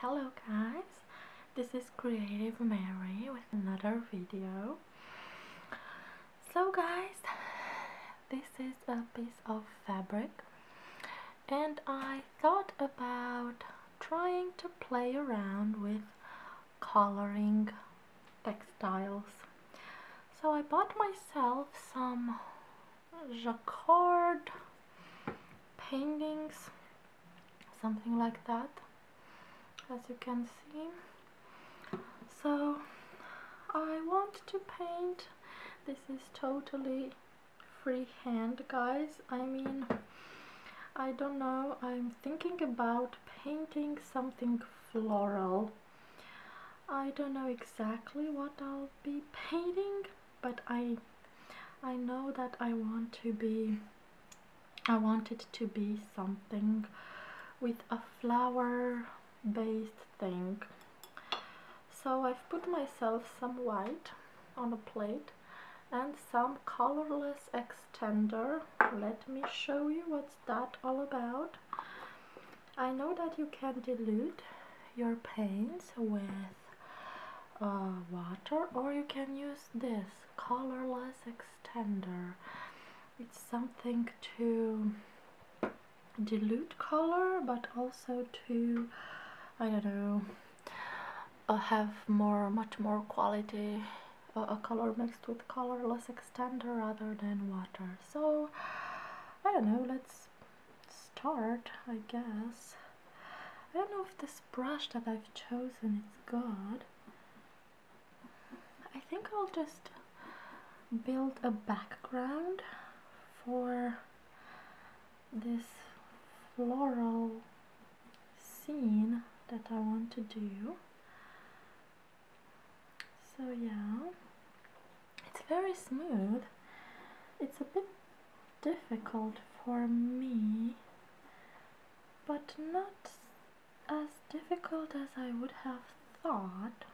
Hello guys, this is Creative Mary with another video. So guys, this is a piece of fabric and I thought about trying to play around with coloring textiles. So I bought myself some jacquard paintings something like that as you can see so I want to paint this is totally freehand guys I mean I don't know I'm thinking about painting something floral I don't know exactly what I'll be painting but I I know that I want to be I wanted to be something with a flower based thing. So I've put myself some white on a plate and some colorless extender. Let me show you what's that all about. I know that you can dilute your paints with. Uh, water or you can use this colorless extender it's something to dilute color but also to I don't know uh, have more much more quality uh, a color mixed with colorless extender rather than water so I don't know let's start I guess I don't know if this brush that I've chosen is good. I think I'll just build a background for this floral scene that I want to do. So yeah, it's very smooth. It's a bit difficult for me, but not as difficult as I would have thought.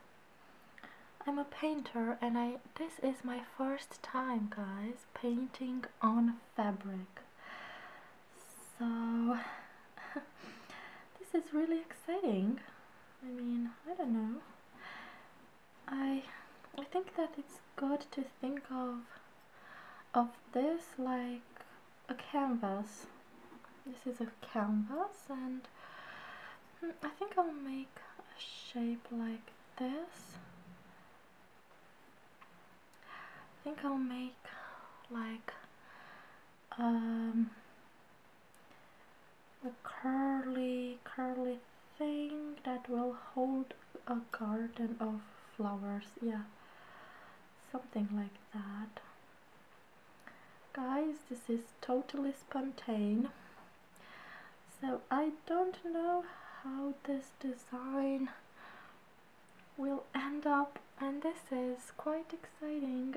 I'm a painter and I this is my first time guys painting on fabric. So this is really exciting. I mean, I don't know. I I think that it's good to think of of this like a canvas. This is a canvas and hmm, I think I'll make a shape like this. I think I'll make like um, a curly, curly thing that will hold a garden of flowers yeah something like that guys this is totally spontaneous so I don't know how this design will end up and this is quite exciting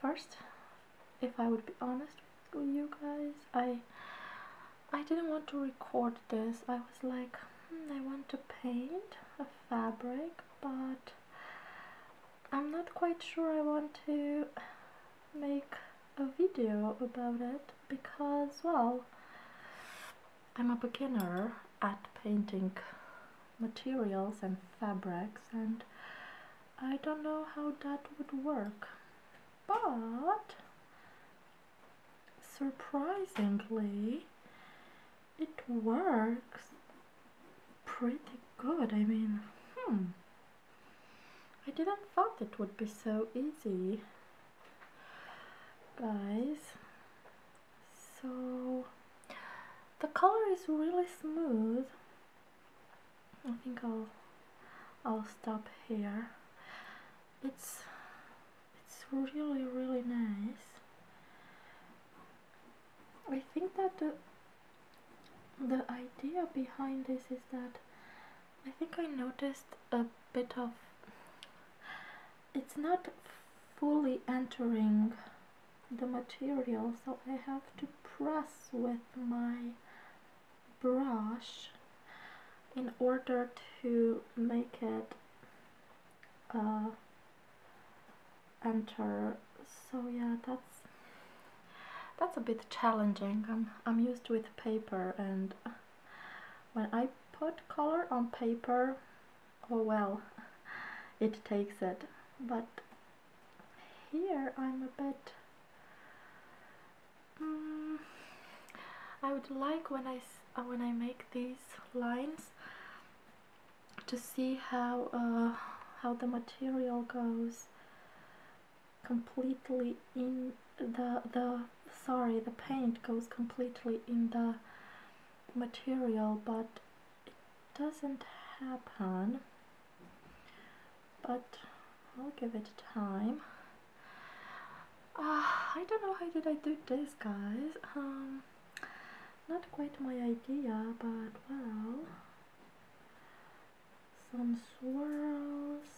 first if I would be honest to you guys. I I didn't want to record this. I was like, hmm, I want to paint a fabric, but I'm not quite sure I want to make a video about it because, well, I'm a beginner at painting materials and fabrics and I don't know how that would work but surprisingly it works pretty good I mean hmm I didn't thought it would be so easy guys so the color is really smooth I think I'll I'll stop here. It's it's really really nice. I think that the the idea behind this is that I think I noticed a bit of it's not fully entering the material so I have to press with my brush in order to make it uh, enter so yeah that's that's a bit challenging I'm, I'm used with paper and when I put color on paper oh well it takes it but here I'm a bit Mm, I would like when I uh, when I make these lines to see how uh, how the material goes completely in the the sorry the paint goes completely in the material but it doesn't happen but I'll give it time. Uh, I don't know how did I do this guys. Um, not quite my idea but well some swirls.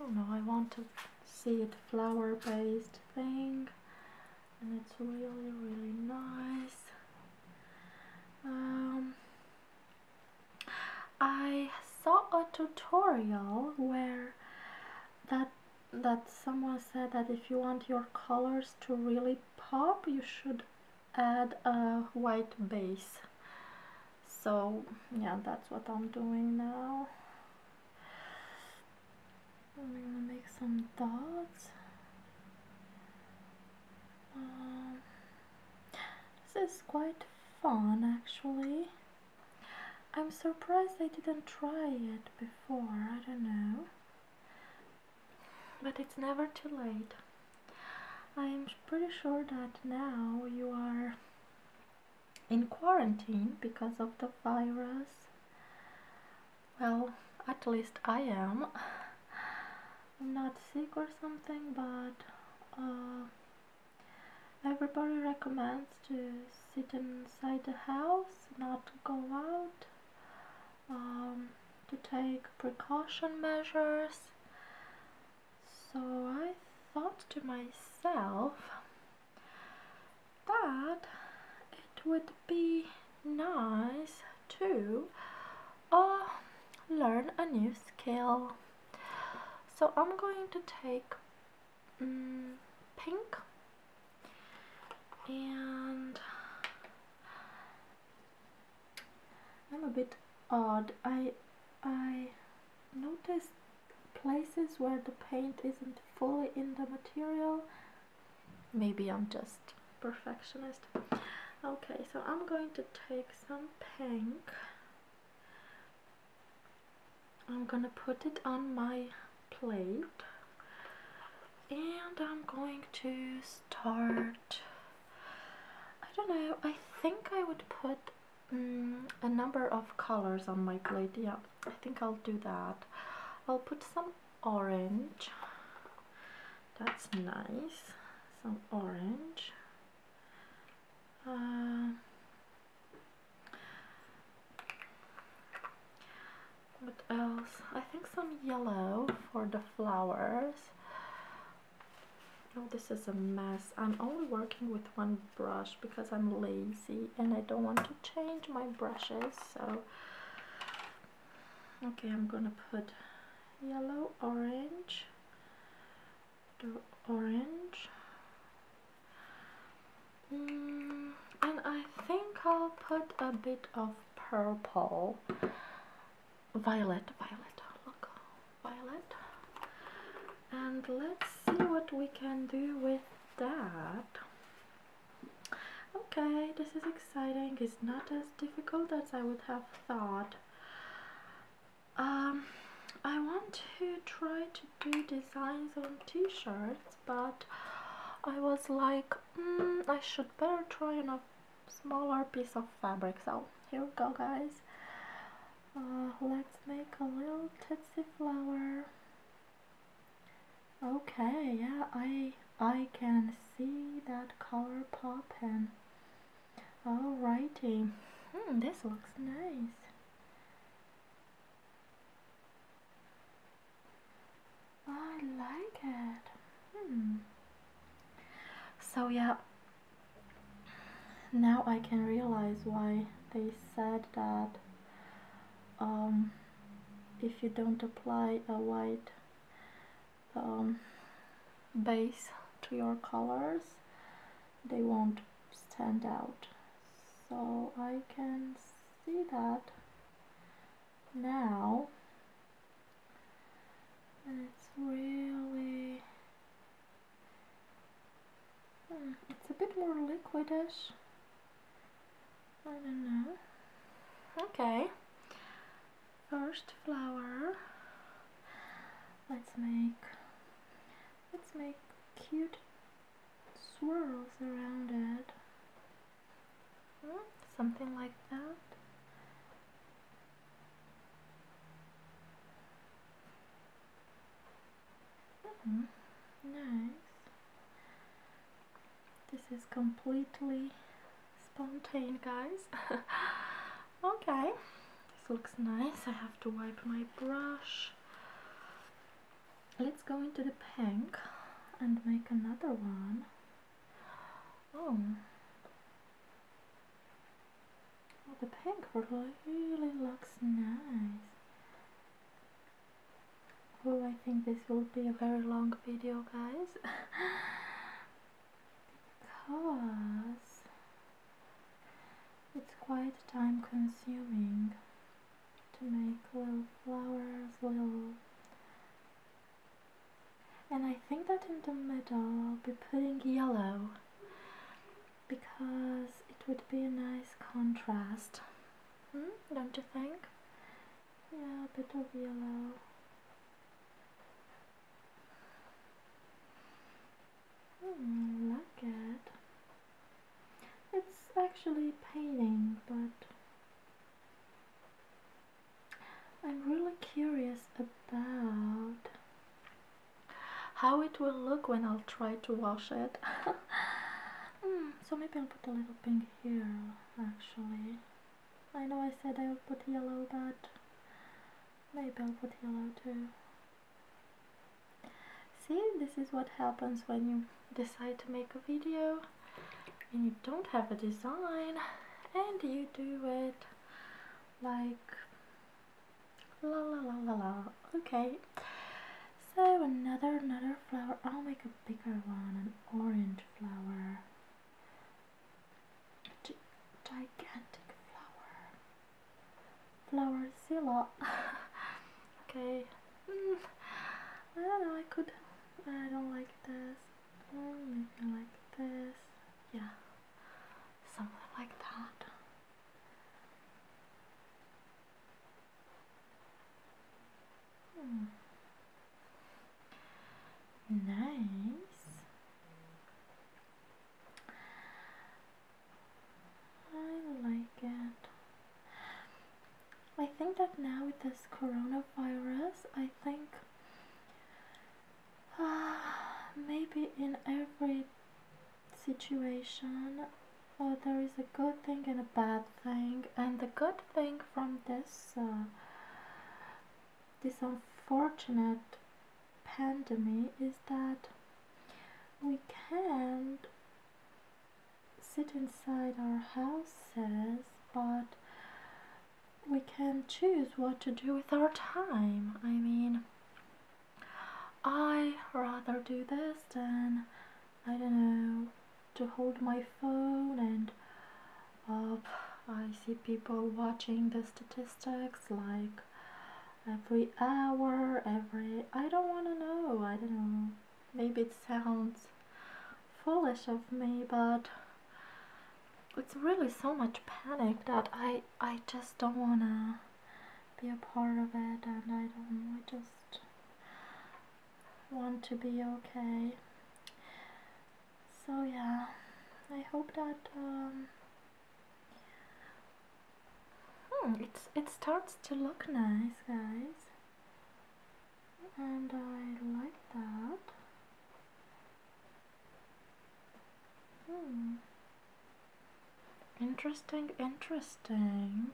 Oh no, I want to see it flower based thing and it's really really nice. Um, I saw a tutorial where that that someone said that if you want your colors to really pop, you should add a white base. So yeah, that's what I'm doing now. I'm gonna make some dots. Um, this is quite fun actually. I'm surprised I didn't try it before, I don't know. But it's never too late. I'm pretty sure that now you are in quarantine because of the virus. Well, at least I am. I'm not sick or something, but uh, Everybody recommends to sit inside the house, not to go out, um, to take precaution measures. So I thought to myself that it would be nice to uh, learn a new skill. So I'm going to take mm, pink and I'm a bit odd. I I noticed places where the paint isn't fully in the material. Maybe I'm just perfectionist. Okay, so I'm going to take some pink I'm gonna put it on my plate and I'm going to start I don't know I think I would put mm, a number of colors on my plate yeah I think I'll do that I'll put some orange that's nice some orange uh, what else? I think some yellow for the flowers. Oh, this is a mess. I'm only working with one brush because I'm lazy and I don't want to change my brushes. So, okay, I'm gonna put yellow, orange, the orange mm, and I think I'll put a bit of purple violet violet look violet and let's see what we can do with that okay this is exciting it's not as difficult as I would have thought um, I want to try to do designs on t-shirts, but I was like, mm, I should better try on a smaller piece of fabric. So here we go, guys. Uh, let's make a little tsetse flower. Okay, yeah, I I can see that color popping. Alrighty, hmm, this looks nice. I like it. Hmm. So yeah, now I can realize why they said that um, if you don't apply a white um, base to your colors they won't stand out so I can see that now it's really hmm, it's a bit more liquidish I don't know okay first flower let's make Let's make cute swirls around it. Hmm, something like that. Hmm, nice. This is completely spontaneous, guys. okay. This looks nice. I have to wipe my brush. Let's go into the pink and make another one. Oh. oh the pink really looks nice. Oh, I think this will be a very long video, guys. because it's quite time consuming to make little flowers, little. And I think that in the middle I'll be putting yellow because it would be a nice contrast. Hmm? Don't you think? Yeah, a bit of yellow. Mm, I like it. It's actually painting, but I'm really curious about how it will look when I'll try to wash it. Hmm, so maybe I'll put a little pink here, actually. I know I said I would put yellow, but maybe I'll put yellow too. See, this is what happens when you decide to make a video and you don't have a design and you do it like la la la la la. Okay. So another, another flower. I'll make a bigger one, an orange flower. gigantic flower flowerzilla okay hmm. I don't know I could I don't like this hmm, maybe like this yeah something like that hmm. nice I like it. I think that now with this coronavirus, I think uh, maybe in every situation uh, there is a good thing and a bad thing, and the good thing from this uh, this unfortunate pandemic is that we can't sit inside our houses, but we can choose what to do with our time. I mean, I rather do this than, I don't know, to hold my phone and uh, I see people watching the statistics like every hour, every. I don't want to know, I don't know. Maybe it sounds foolish of me, but it's really so much panic that I, I just don't want to be a part of it and I don't I just want to be okay. So yeah, I hope that um, Hmm, it's, it starts to look nice, guys. And I like that. Hmm. Interesting, interesting.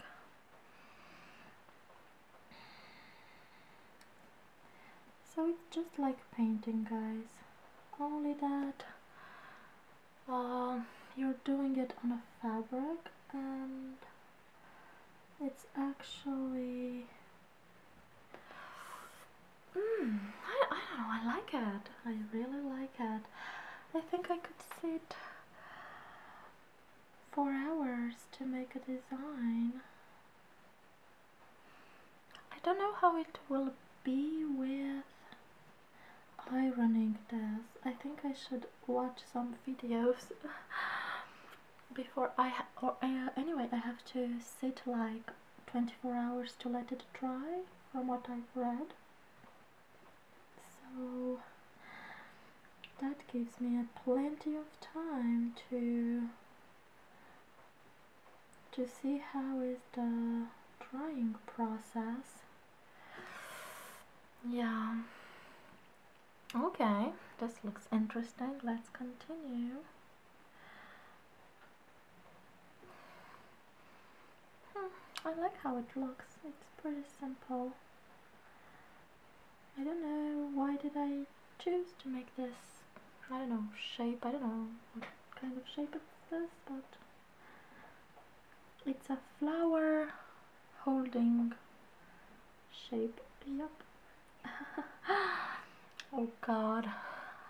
So it's just like painting, guys. Only that uh, you're doing it on a fabric and it's actually mm, I, I don't know I like it I really like it I think I could sit four hours to make a design I don't know how it will be with ironing this. I think I should watch some videos before I or uh, anyway I have to sit like 24 hours to let it dry from what I've read. So that gives me a plenty of time to to see how is the drying process yeah okay this looks interesting let's continue hmm, I like how it looks it's pretty simple I don't know why did I choose to make this I don't know shape I don't know what kind of shape it's this but it's a flower holding shape. Yep. oh god,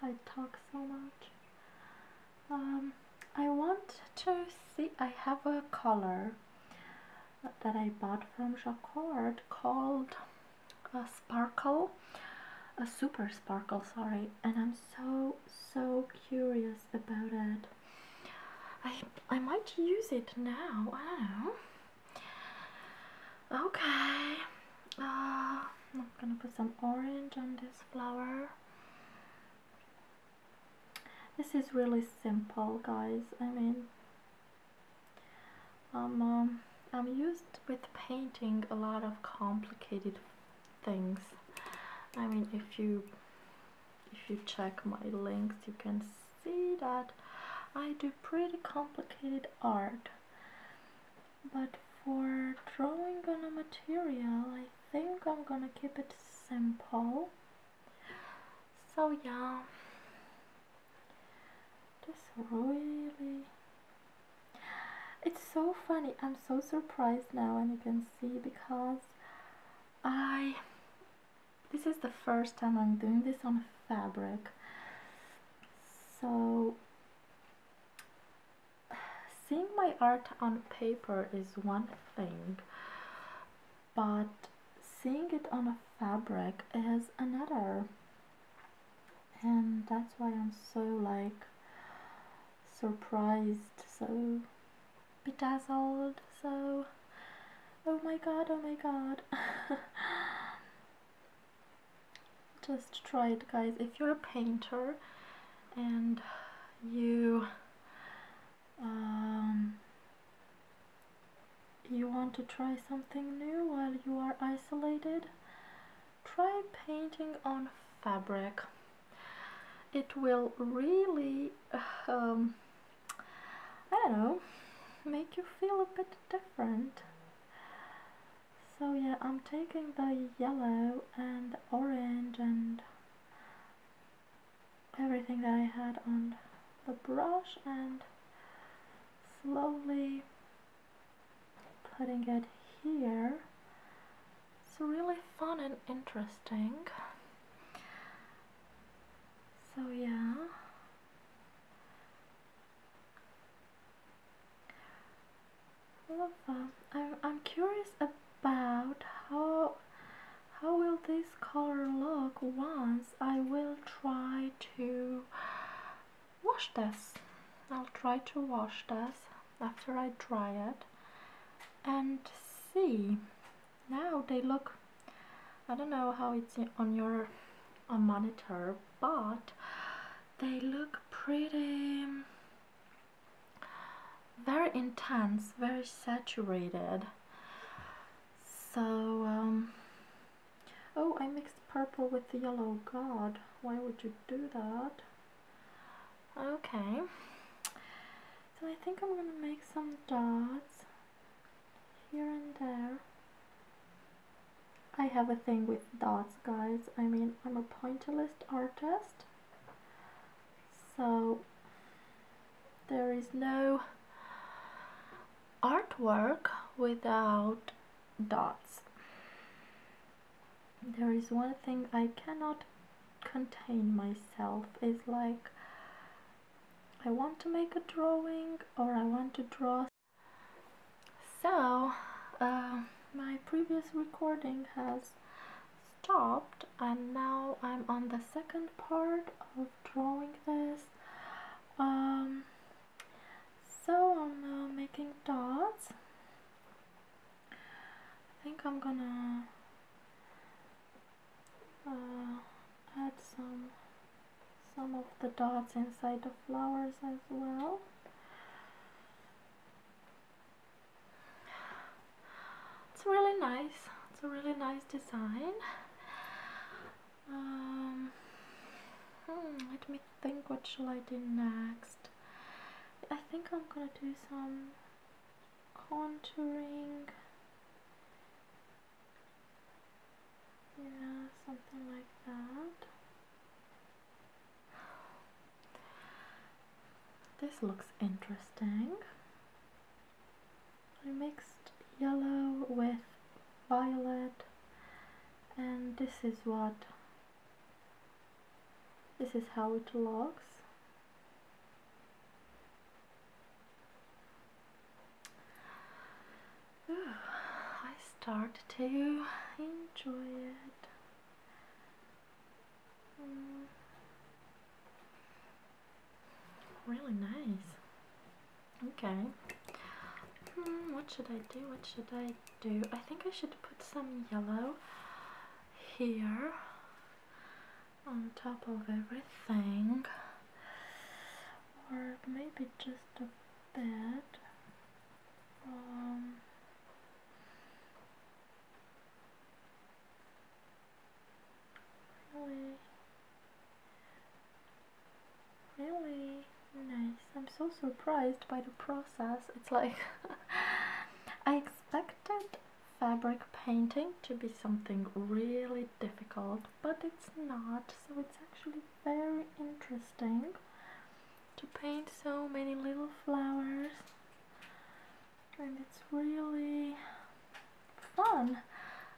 I talk so much. Um, I want to see, I have a color that I bought from Jacquard called a Sparkle, a Super Sparkle, sorry, and I'm so, so curious about it. I I might use it now. I don't know. Okay. Uh, I'm gonna put some orange on this flower. This is really simple, guys. I mean, um, um I'm used with painting a lot of complicated things. I mean, if you if you check my links you can see that I do pretty complicated art but for drawing on a material I think I'm gonna keep it simple so yeah this really it's so funny I'm so surprised now and you can see because I this is the first time I'm doing this on fabric so seeing my art on paper is one thing but seeing it on a fabric is another and that's why I'm so like surprised so bedazzled so oh my god oh my god just try it guys if you're a painter and you um, you want to try something new while you are isolated try painting on fabric it will really um, I don't know, make you feel a bit different. So yeah, I'm taking the yellow and the orange and everything that I had on the brush and slowly putting it here. It's really fun and interesting. So yeah. Well, um, I'm I'm curious about how how will this color look once I will try to wash this. I'll try to wash this after I dry it and see now they look I don't know how it's on your on monitor but they look pretty very intense very saturated so um, oh I mixed purple with the yellow god why would you do that okay so I think I'm gonna make some dots here and there. I have a thing with dots, guys. I mean, I'm a pointillist artist, so there is no artwork without dots. There is one thing I cannot contain myself, it's like I want to make a drawing or I want to draw. So, uh, my previous recording has stopped and now I'm on the second part of drawing this. Um, so I'm making dots. I think I'm gonna uh, add some some of the dots inside the flowers as well it's really nice it's a really nice design um, hmm, let me think what shall I do next I think I'm gonna do some contouring yeah, something like that. This looks interesting. I mixed yellow with violet and this is what this is how it looks I start to enjoy it. Mm. Really nice. Okay. Mm, what should I do? What should I do? I think I should put some yellow here on top of everything, or maybe just a bit. Um, really, really nice. I'm so surprised by the process. It's like I expected fabric painting to be something really difficult but it's not so it's actually very interesting to paint so many little flowers and it's really fun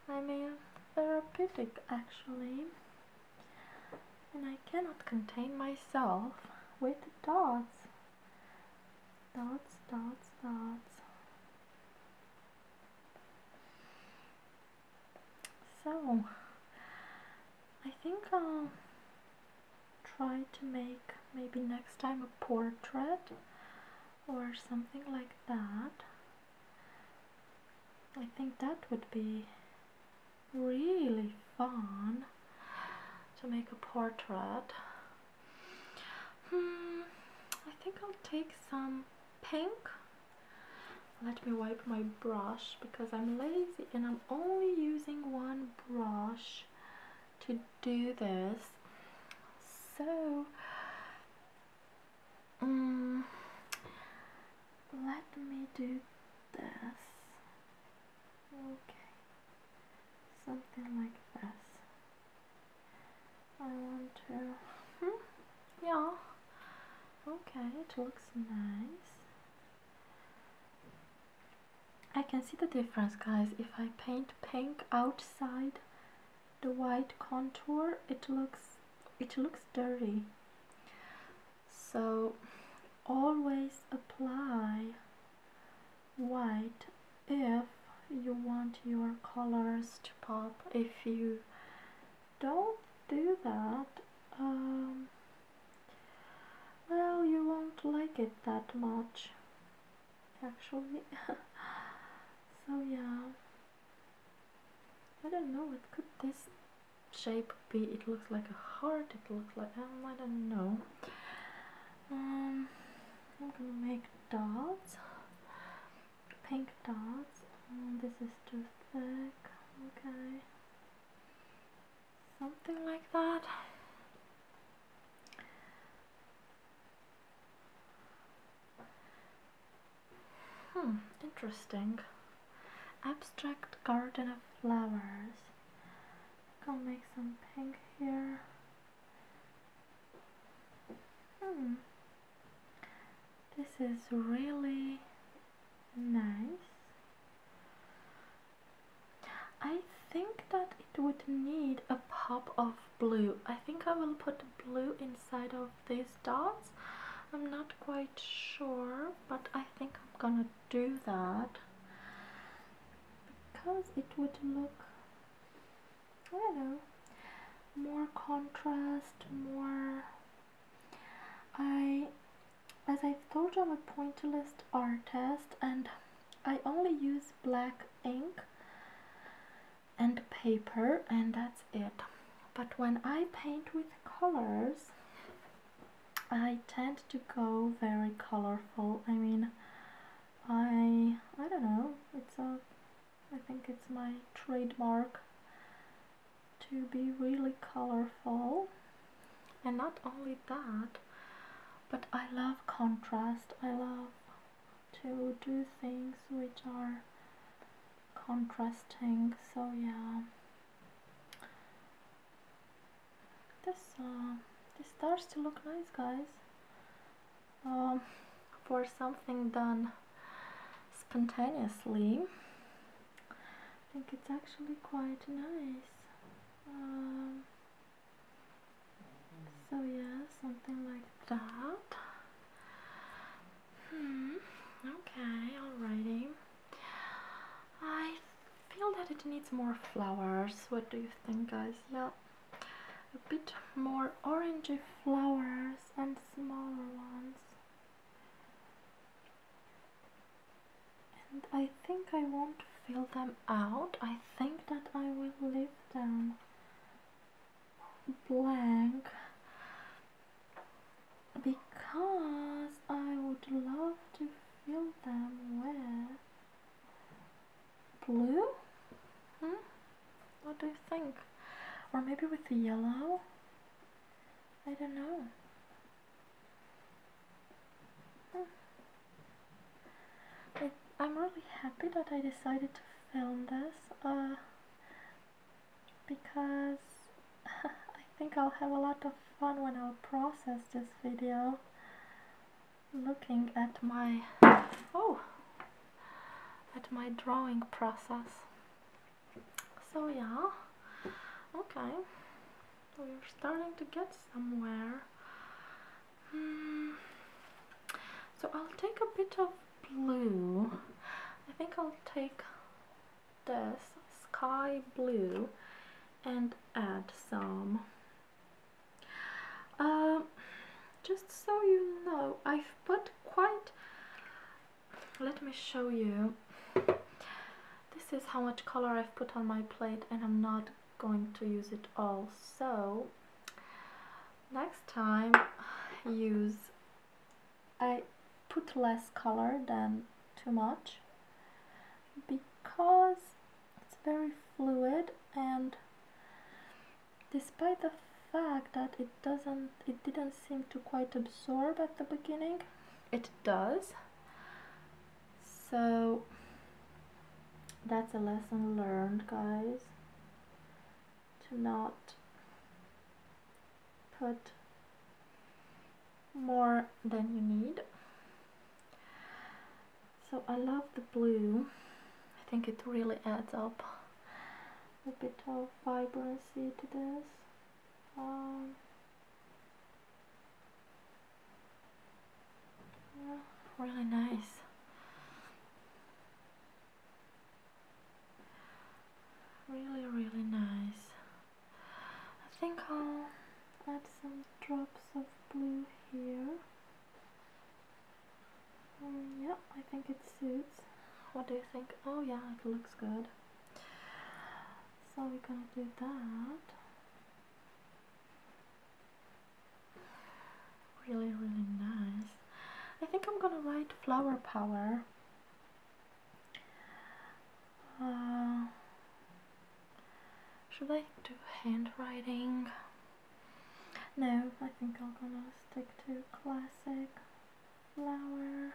I mean therapeutic actually and I cannot contain myself with dots dots dots dots so I think I'll try to make maybe next time a portrait or something like that. I think that would be really fun to make a portrait. Hmm, I think I'll take some pink let me wipe my brush because I'm lazy and I'm only using one brush to do this. So, mm, let me do this. Okay, something like this. I want to. Hmm, yeah. Okay, it looks nice. I can see the difference, guys. If I paint pink outside the white contour, it looks it looks dirty. So always apply white if you want your colors to pop if you don't do that, um, well, you won't like it that much, actually. so, yeah. I don't know, what could this shape be? It looks like a heart, it looks like, um, I don't know. Um, I'm gonna make dots pink dots. this is too thick. Okay. Something like that. Hmm, interesting. Abstract Garden of Flowers. Go make some pink here. Hmm. This is really nice. I think that it would need a pop of blue. I think I will put blue inside of these dots. I'm not quite sure, but I think I'm gonna do that because it would look, I don't know, more contrast, more I, as I've told you, I'm a pointillist artist and I only use black ink and paper and that's it. But when I paint with colors, I tend to go very colorful. I mean, I I don't know. It's a I think it's my trademark to be really colorful and not only that but I love contrast I love to do things which are contrasting so yeah this uh, this starts to look nice guys um, for something done spontaneously. I think it's actually quite nice. Um, so yeah, something like that. Hmm. Okay. Alrighty. I feel that it needs more flowers. What do you think, guys? Yeah. A bit more orangey flowers and smaller ones. And I think I won't fill them out. I think that I will leave them blank because I would love to fill them with blue? Hmm? What do you think? Or maybe with yellow? I don't know. It, I'm really happy that I decided to film this uh, because I think I'll have a lot of fun when I'll process this video looking at my oh at my drawing process so yeah, okay, we're starting to get somewhere. Hmm. So I'll take a bit of blue. I think I'll take this sky blue and add some. Uh, just so you know, I've put quite let me show you this is how much color I've put on my plate and I'm not going to use it all so next time use I put less color than too much because it's very fluid and despite the fact that it doesn't it didn't seem to quite absorb at the beginning it does so that's a lesson learned guys to not put more than you need so I love the blue I think it really adds up a bit of vibrancy to this um, yeah, really nice. Really, really nice. I think I'll add some drops of blue here. Um, yeah, I think it suits. What do you think? Oh yeah, it looks good. So we're gonna do that. Really, really nice. I think I'm gonna write flower power. Uh, should I do handwriting? No, I think I'm gonna stick to classic flower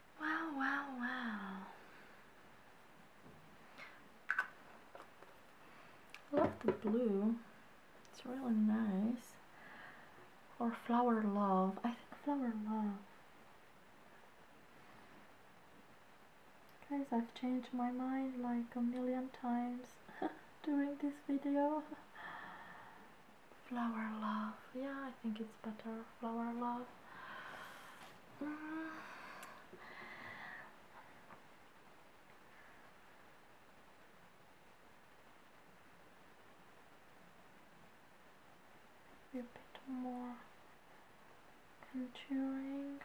Wow, wow, wow. I love the blue. It's really nice. Or flower love. I think flower love. Guys, I've changed my mind like a million times during this video. flower love yeah I think it's better flower love mm. a bit more contouring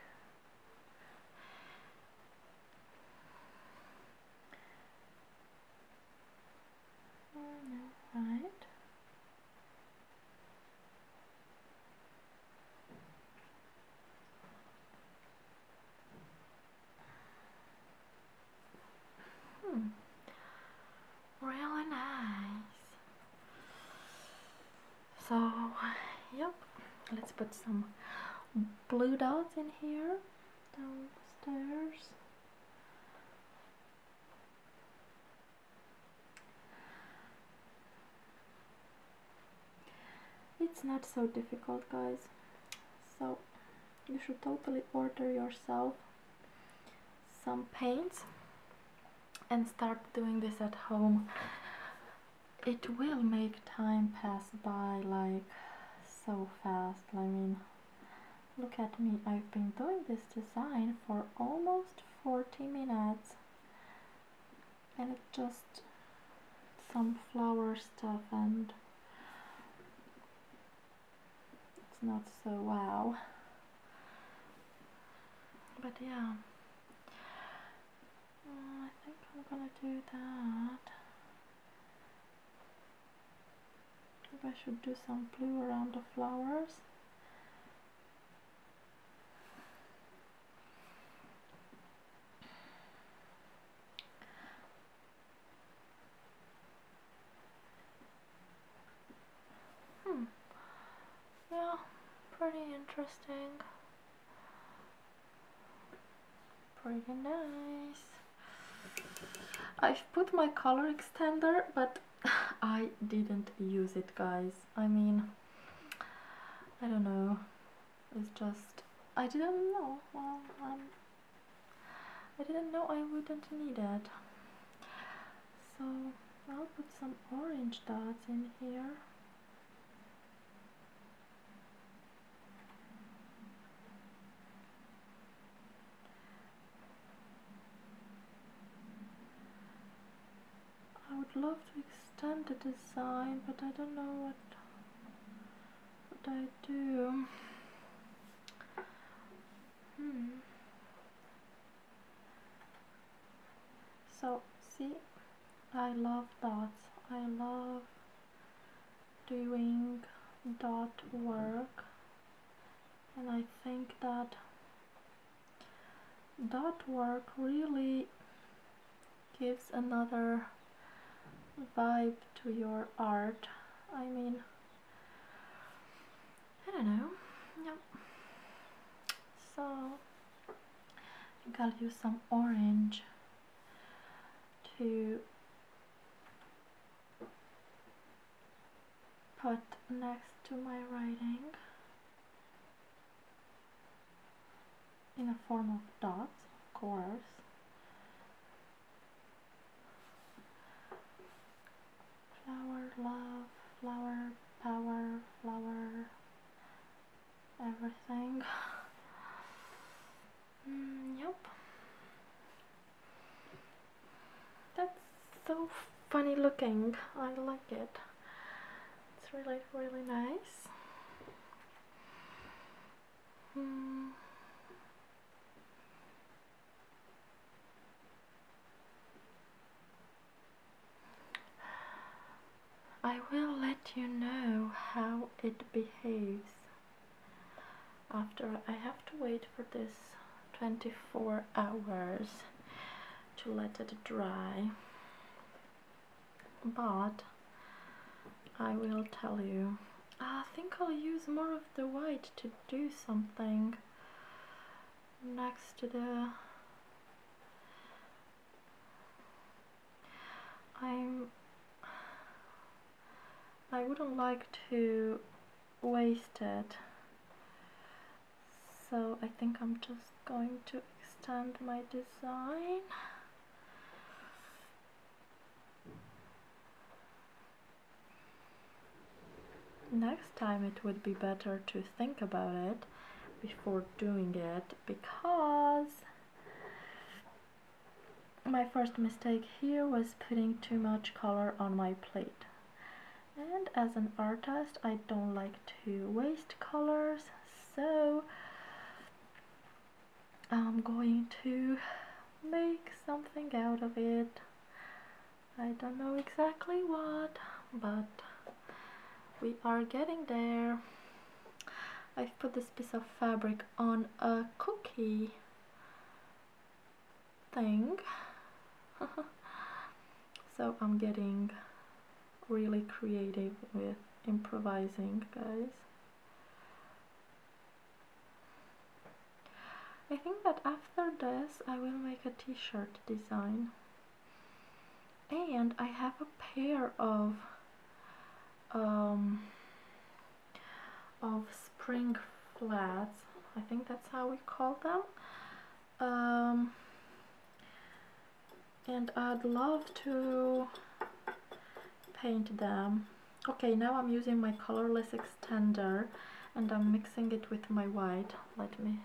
now hmm. really nice. So yep, let's put some blue dots in here downstairs. It's not so difficult guys. So you should totally order yourself some paints and start doing this at home. It will make time pass by like so fast. I mean Look at me, I've been doing this design for almost 40 minutes and it's just some flower stuff and it's not so wow but yeah mm, I think I'm gonna do that I should do some blue around the flowers Hmm. Yeah, pretty interesting. Pretty nice. I've put my color extender, but I didn't use it guys I mean I don't know it's just I didn't know well um, I didn't know I wouldn't need it so I'll put some orange dots in here I would love to extend the design, but I don't know what what I do. Hmm. So see, I love dots. I love doing dot work, and I think that that work really gives another vibe to your art. I mean, I don't know. Yep. So, I to use some orange to put next to my writing in a form of dots, of course. Flower love, flower power, flower everything. Mm, yep. That's so funny looking. I like it. It's really, really nice. Hmm. I will let you know how it behaves after I have to wait for this 24 hours to let it dry but I will tell you I think I'll use more of the white to do something next to the I'm I wouldn't like to waste it so I think I'm just going to extend my design next time it would be better to think about it before doing it because my first mistake here was putting too much color on my plate and as an artist I don't like to waste colors so I'm going to make something out of it I don't know exactly what but we are getting there I've put this piece of fabric on a cookie thing so I'm getting really creative with improvising guys I think that after this I will make a t-shirt design and I have a pair of um, of spring flats I think that's how we call them um, and I'd love to paint them. Okay, now I'm using my colorless extender and I'm mixing it with my white. Let me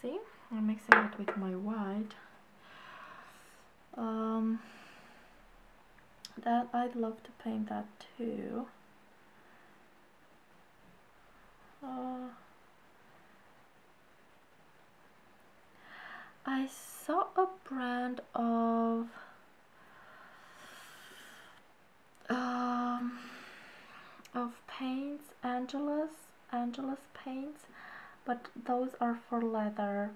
see. I'm mixing it with my white. Um, that I'd love to paint that too. Uh, I saw a brand of um, of paints, Angelus, Angelus paints, but those are for leather.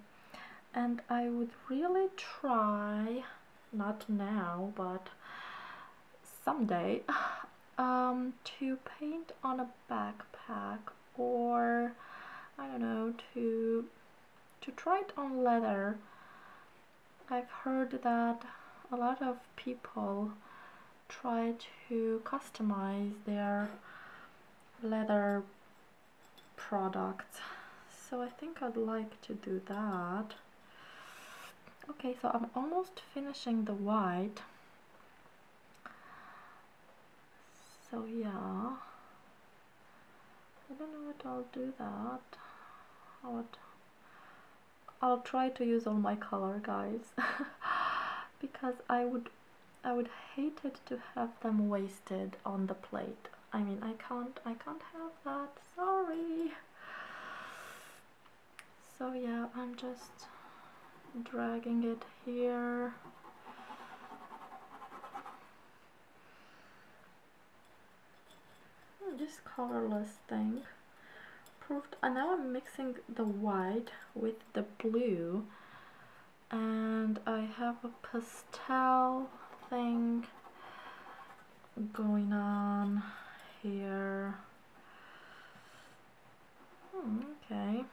And I would really try, not now, but someday, um, to paint on a backpack or I don't know to to try it on leather I've heard that a lot of people try to customize their leather products so I think I'd like to do that okay so I'm almost finishing the white so yeah I don't know what I'll do that I would, I'll try to use all my color guys because I would I would hate it to have them wasted on the plate I mean I can't I can't have that sorry so yeah I'm just dragging it here hmm, this colorless thing proved and uh, now I'm mixing the white with the blue and I have a pastel thing going on here Hmm, okay.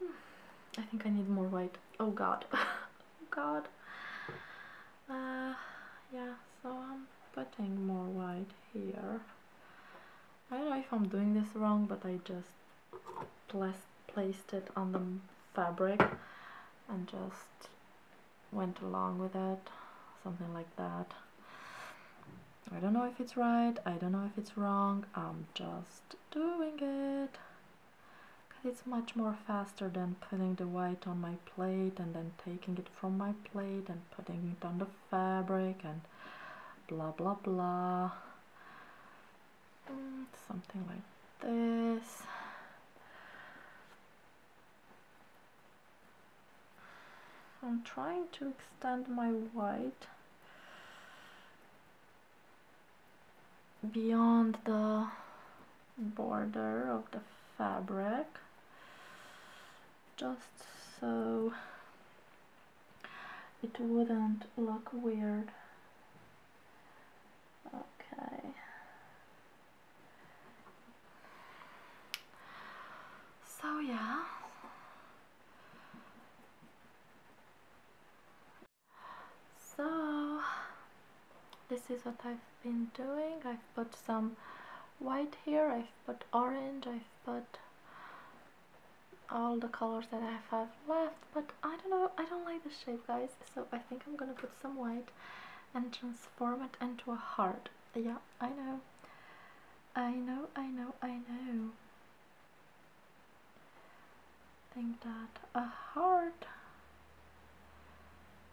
I think I need more white. Oh god. oh god. Uh, yeah, so I'm putting more white here. I don't know if I'm doing this wrong, but I just placed it on the fabric and just went along with it, something like that. I don't know if it's right, I don't know if it's wrong, I'm just doing it. Cause it's much more faster than putting the white on my plate and then taking it from my plate and putting it on the fabric and blah blah blah. Mm, something like this. I'm trying to extend my white beyond the border of the fabric just so it wouldn't look weird okay so yeah. So this is what I've been doing. I've put some white here, I've put orange, I've put all the colors that I have left, but I don't know, I don't like the shape guys, so I think I'm gonna put some white and transform it into a heart yeah, I know. I know, I know, I know. think that a heart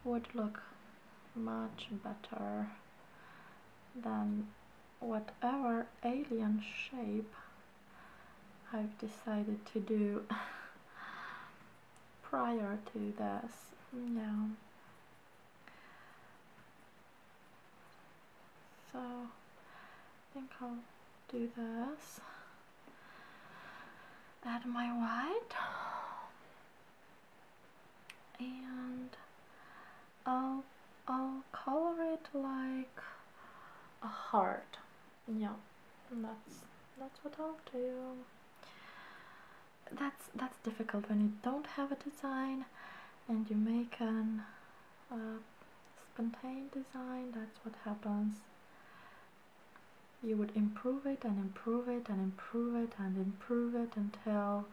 would look much better than whatever alien shape I've decided to do prior to this. Yeah. So I think I'll do this. Add my white. And I'll I'll color it like a heart. Yeah, that's that's what I'll do that's that's difficult when you don't have a design and you make an uh, spontaneous design that's what happens you would improve it and improve it and improve it and improve it until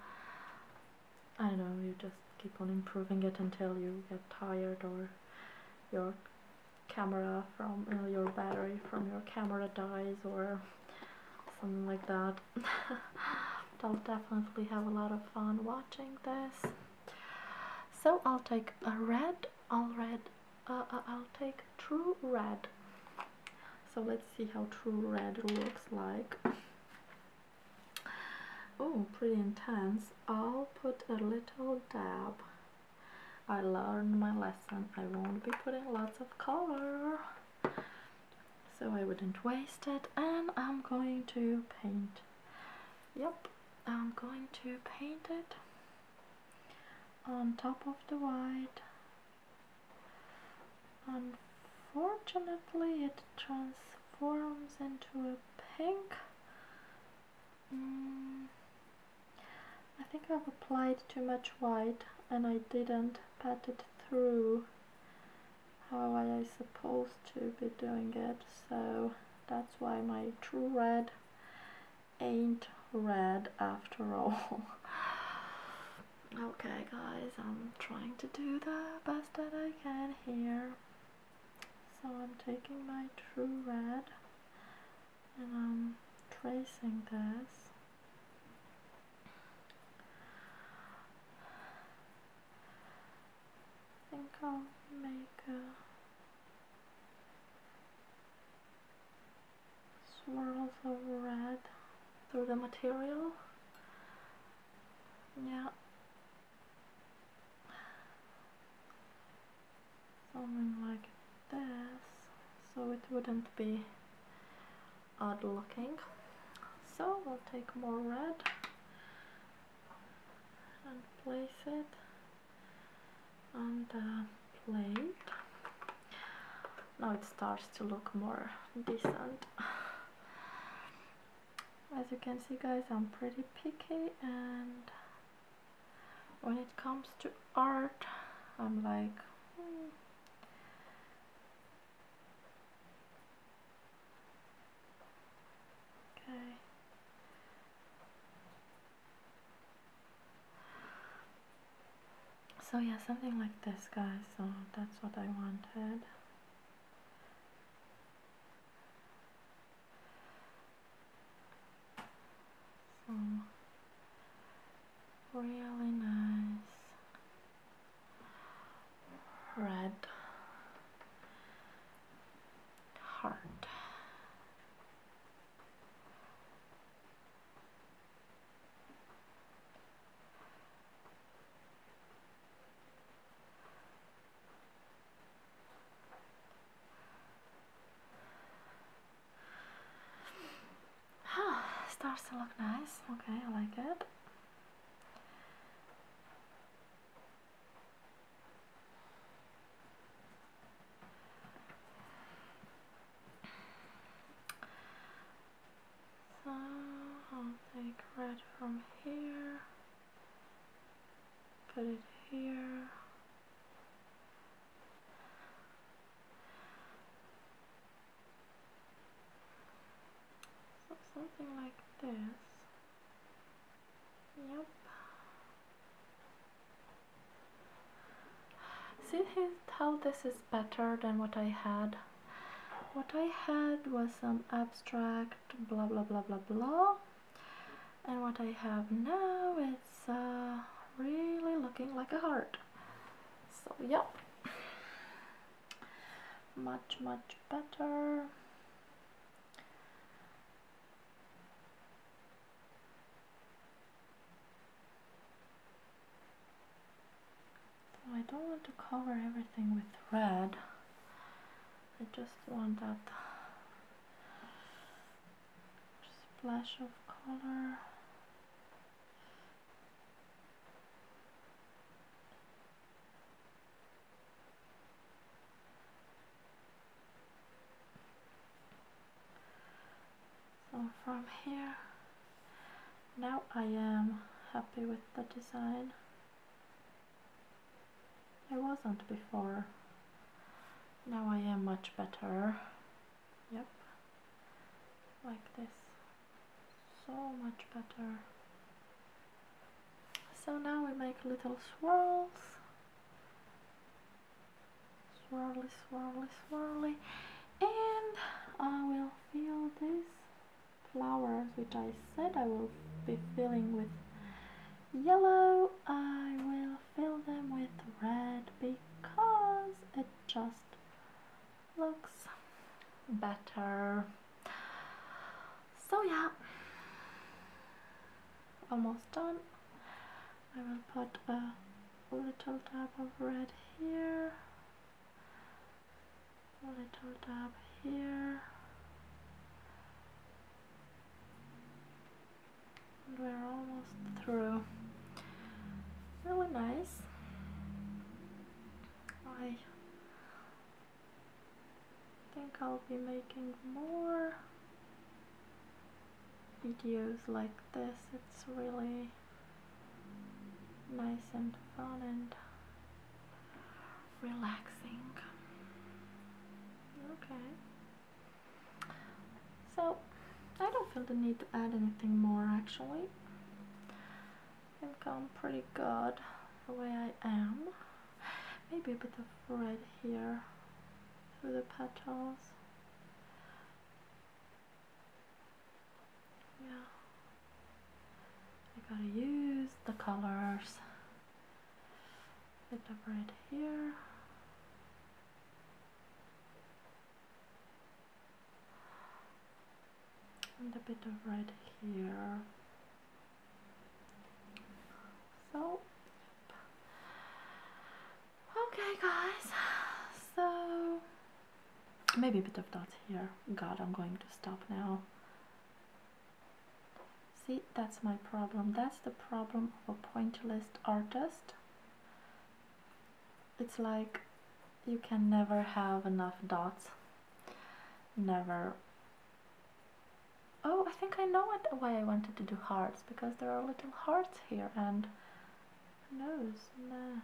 I don't know you just keep on improving it until you get tired or your camera from uh, your battery from your camera dies or something like that I'll definitely have a lot of fun watching this. So I'll take a red. all red. Uh, uh, I'll take true red. So let's see how true red looks like. Oh, pretty intense. I'll put a little dab. I learned my lesson. I won't be putting lots of color so I wouldn't waste it and I'm going to paint yep I'm going to paint it on top of the white unfortunately it transforms into a pink mm, I think I've applied too much white and I didn't pat it through how am I supposed to be doing it so that's why my true red ain't red after all okay guys I'm trying to do the best that I can here so I'm taking my true red and I'm tracing this I think I'll make a swirls of red through the material. Yeah. Something like this, so it wouldn't be odd looking. So we'll take more red and place it on the plate. Now it starts to look more decent. As you can see guys, I'm pretty picky and when it comes to art, I'm like, hmm, Okay. So yeah, something like this, guys. So that's what I wanted. So really nice red heart. starts to look nice. Okay, I like it. So I'll take red from here, put it here. So something like this. Yep. See how this is better than what I had? What I had was some abstract blah blah blah blah blah. And what I have now is uh, really looking like a heart. So, yep much much better I don't want to cover everything with red I just want that splash of color so from here, now I am happy with the design. I wasn't before. Now I am much better. Yep, like this so much better so now we make little swirls swirly swirly swirly and I will fill these flowers which I said I will be filling with yellow I will fill them with red because it just looks better so yeah almost done I will put a little dab of red here a little dab here and we're almost through really nice I I think I'll be making more videos like this. It's really nice and fun and relaxing. Okay. So, I don't feel the need to add anything more actually. I am i pretty good the way I am. Maybe a bit of red here through the petals. Yeah. I gotta use the colors. Bit of red here and a bit of red here. So, okay, guys. So, maybe a bit of dots here. God, I'm going to stop now. See, that's my problem. That's the problem of a pointillist artist. It's like you can never have enough dots never oh I think I know what why I wanted to do hearts because there are little hearts here and who knows nah.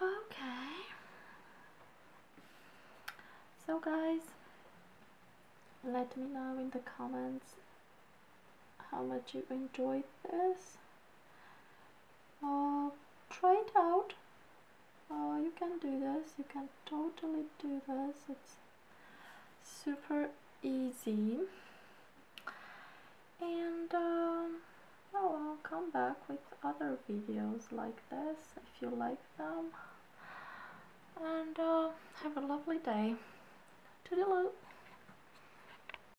okay so guys let me know in the comments how much you enjoyed this. Uh, try it out. Uh, you can do this. You can totally do this. It's super easy. And um, oh, I'll come back with other videos like this if you like them. And uh, have a lovely day. Toodaloo!